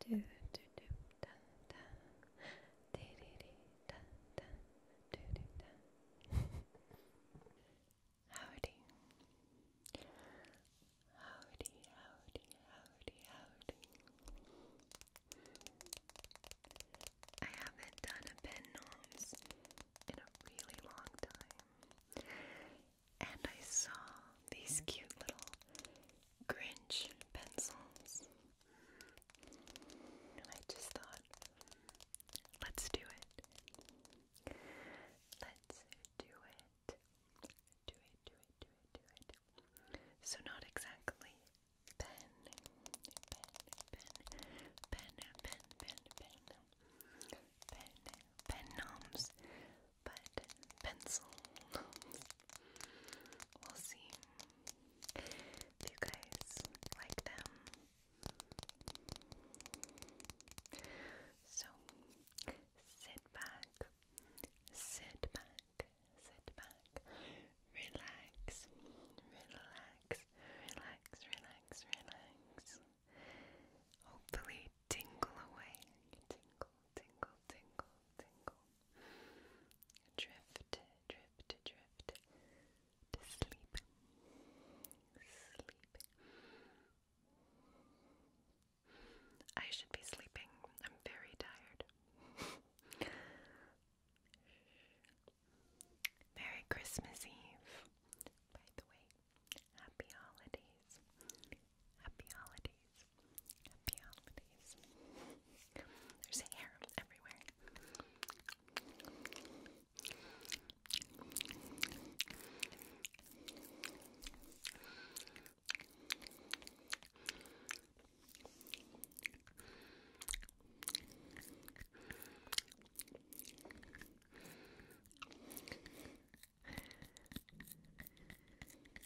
do do do da da di di di da da do do da Howdy Howdy howdy howdy howdy I haven't done a pen nose in a really long time and I saw these cute little Grinch pencils. And I just thought, let's do it. Let's do it. Do it, do it, do it, do it. So, not exactly pen, pen, pen, pen, pen, pen, pen, pen, pen noms, but pencil. we'll see if you guys like them. So sit back, sit back, sit back, relax, relax, relax, relax, relax. Hopefully, tingle away. Tingle, tingle, tingle, tingle. Drift, drift, drift to sleep. Sleep. I should be sleeping. I'm very tired. Merry Christmas Eve. By the way, happy holidays. Happy holidays. Happy holidays. There's hair everywhere.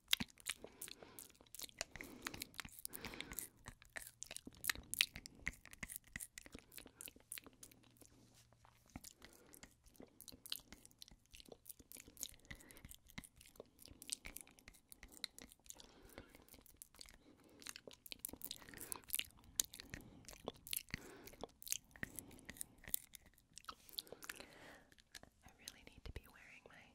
I really need to be wearing my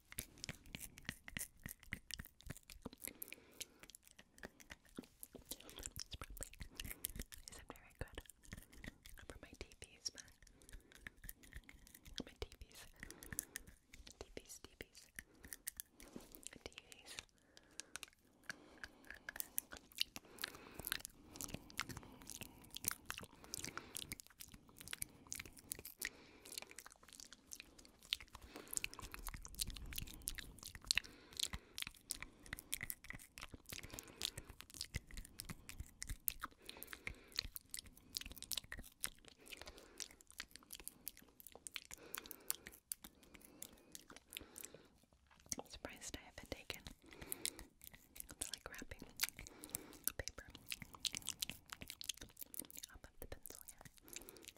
It's probably isn't very good for my TVs, but my TVs, TVs, TVs, TVs. I'm surprised I haven't taken like wrapping paper off of the pencil yet.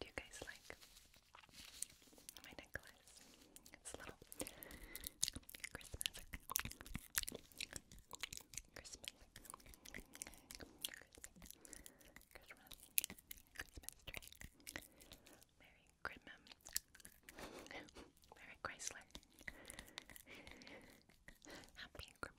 Do you guys like my necklace? It's little Christmas. Christmas. Christmas. Christmas tree. Merry Grimmum. Merry Chrysler. Happy Grimmum.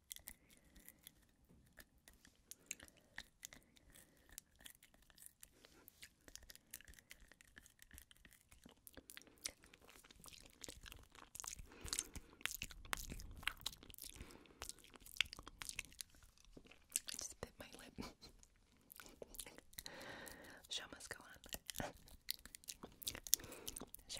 I just bit my lip. Show must go on. Show.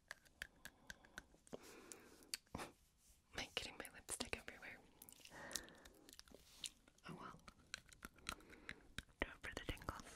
Am I getting my lipstick everywhere? Oh well. Do it for the tingles.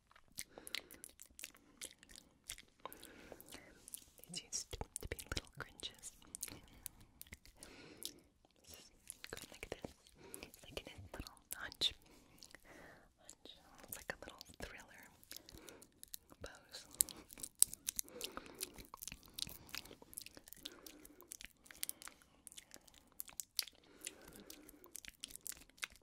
These used to be little cringes. like this. like in little hunch. Hunch. It's like a little thriller pose.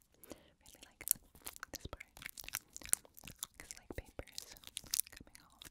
really like this part because like paper coming off.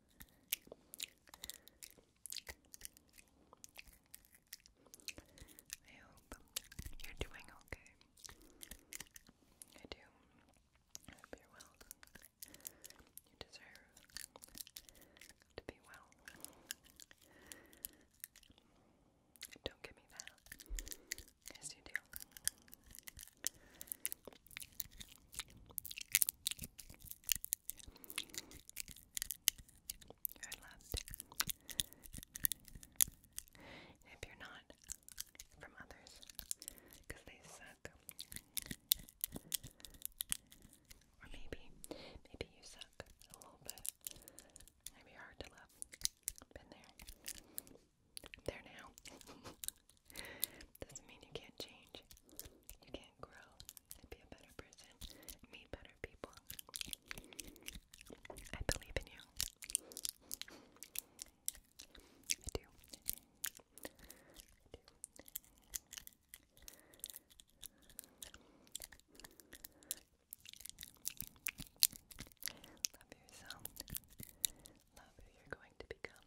I hope you're doing okay. I do. I hope you're well. You deserve to be well. Don't give me that. Yes, you do you If you're not from others, they suck. Or maybe, maybe you suck a little bit. Maybe you're hard to love. Been there. there now. Doesn't mean you can't change. You can't grow and be a better person, meet better people. I believe in you. I do. I do. Love Love who you're going to become.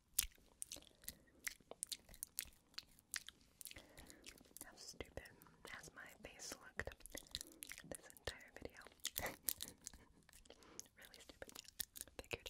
How stupid has my face looked this entire video? really stupid. Figured.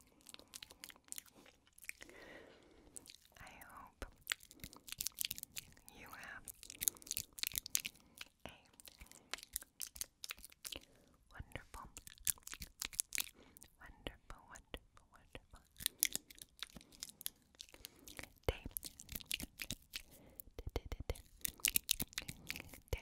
I hope you have a wonderful, wonderful, wonderful, wonderful day. Day. day.